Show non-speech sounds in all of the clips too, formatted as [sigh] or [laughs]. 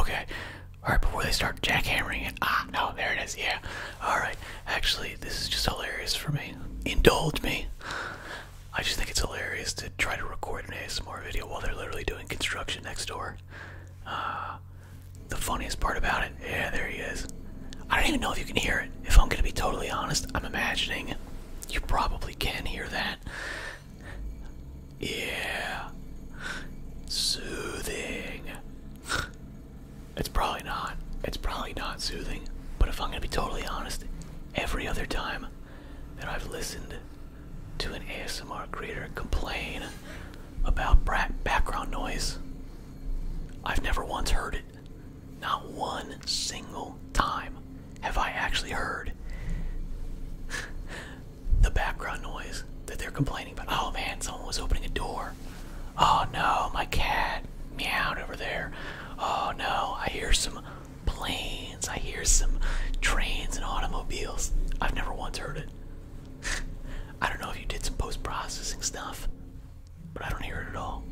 Okay. Alright, before they start jackhammering it. Ah, no, there it is. Yeah. Alright. Actually, this is just hilarious for me. Indulge me. I just think it's hilarious to try to record an ASMR video while they're literally doing construction next door. Uh, the funniest part about it. Yeah, there he is. I don't even know if you can hear it. If I'm going to be totally honest, I'm imagining you probably can hear that yeah. Soothing. It's probably not. It's probably not soothing. But if I'm going to be totally honest, every other time that I've listened to an ASMR creator complain about background noise, I've never once heard it. Not one single time have I actually heard the background noise that they're complaining about. Oh man, someone was opening a door. Oh no, my cat meowed over there. Oh no, I hear some planes. I hear some trains and automobiles. I've never once heard it. [laughs] I don't know if you did some post processing stuff, but I don't hear it at all.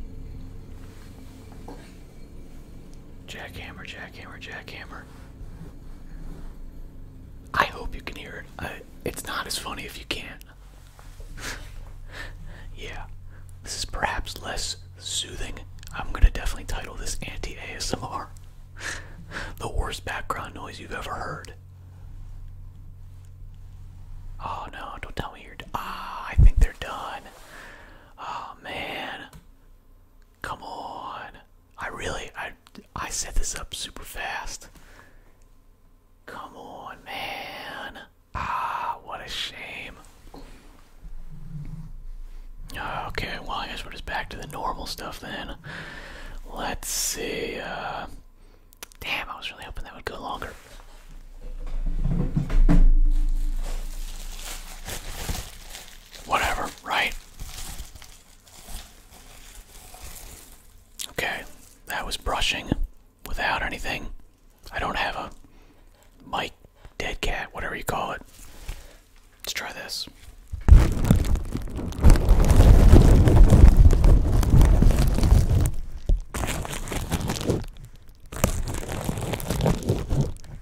Jackhammer, jackhammer, jackhammer. I hope you can hear it. it's not as funny if you can't. [laughs] yeah, this is perhaps less soothing. I'm gonna definitely title this anti ASMR. [laughs] the worst background noise you've ever heard. Oh no, don't tell me you're. Ah, I think they're done. Oh man. Come on. I really I I set this up super fast. Come on, man. Ah, what a shame. Okay, well I guess we're just back to the normal stuff then. Let's see, uh Damn, I was really hoping that would go longer whatever, right? Okay, that was brushing without anything. I don't have a mic, dead cat, whatever you call it. Let's try this.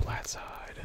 Flat side.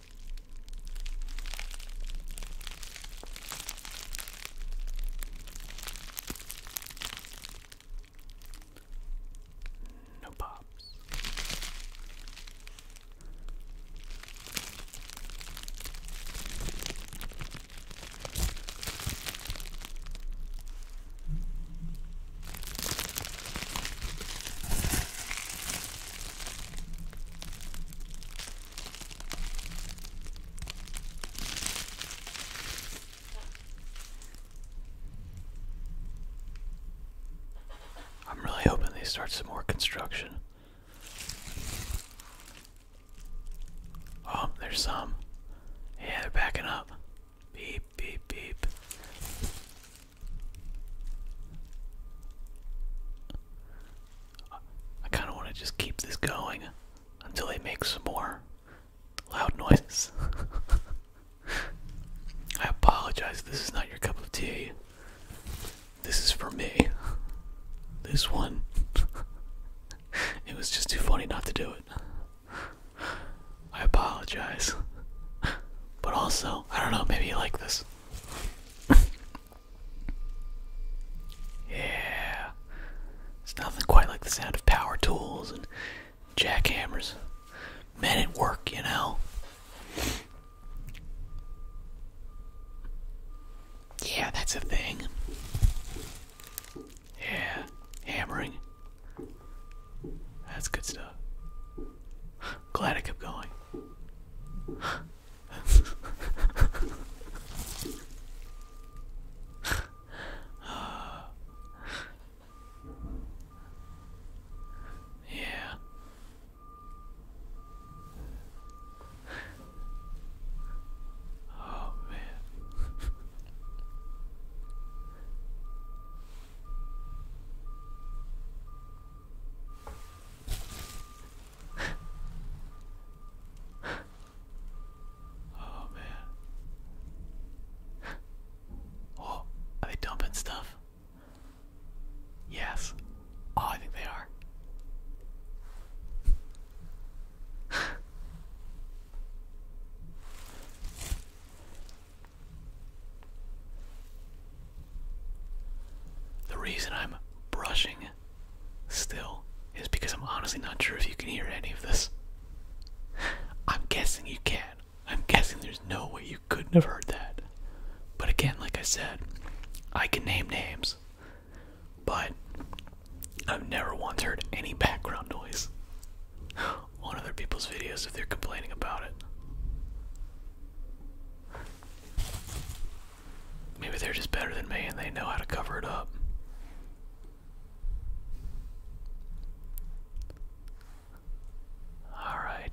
No pops. I'm really hoping they start some more construction. Oh, there's some. Yeah, they're backing up. Beep, beep, beep. I kind of want to just keep this going until they make some more loud noises. [laughs] I apologize, this is not your cup of tea. This is for me. This one. [laughs] it was just too funny not to do it. I apologize. [laughs] but also, I don't know, maybe you like this. [laughs] yeah. It's nothing quite like the sound of power tools and jackhammers. Men at work, you know? Yeah, that's a thing. Yeah, hammering. That's good stuff. Glad I kept going. yeah. Oh man oh man. Oh, are they dumping stuff? Yes. Oh, I think they are. The reason I'm brushing still is because I'm honestly not sure if you can hear any of this. I'm guessing you can. I'm guessing there's no way you couldn't have heard that. But again, like I said, I can name names, but I've never once heard any background noise on other people's videos if they're complaining about it. Maybe they're just better than me and they know how to cover it up. All right.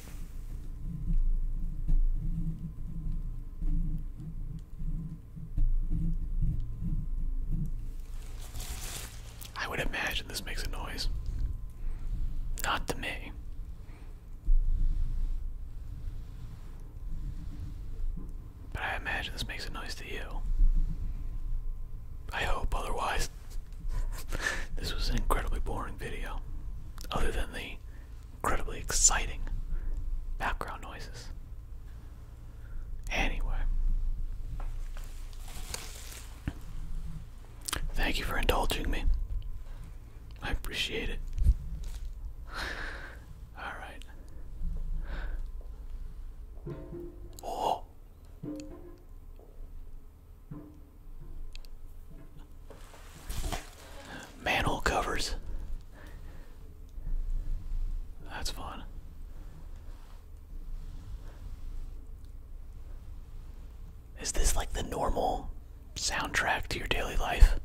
I would imagine this makes a noise. Not to me. But I imagine this makes a noise to you. I hope, otherwise, this was an incredibly boring video, other than the incredibly exciting background noises. Anyway, thank you for indulging me. I appreciate it. Alright. Oh! Manhole covers. That's fun. Is this like the normal soundtrack to your daily life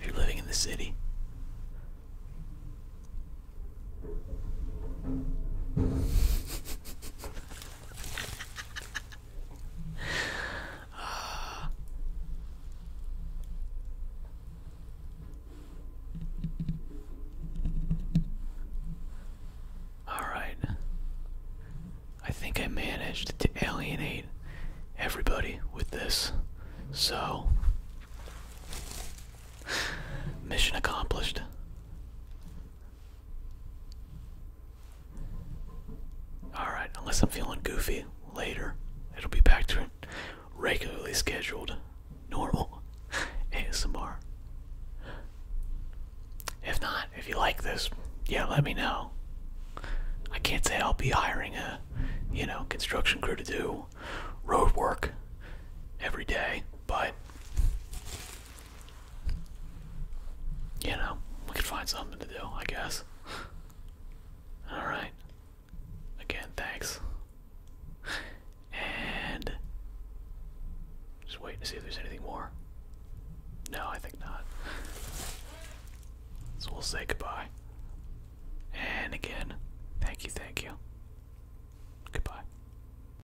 if you're living in the city? [laughs] Alright. I think I managed to alienate everybody with this. So, mission accomplished. Alright, unless I'm feeling goofy later, it'll be back to regularly scheduled, normal ASMR. [laughs] If not, if you like this, yeah, let me know. I can't say I'll be hiring a, you know, construction crew to do road work every day, but you know, we can find something to do, I guess. [laughs] Alright. Again, thanks. And. Just wait to see if there's anything more. No, I think not. So we'll say goodbye. And again, thank you, thank you. Goodbye.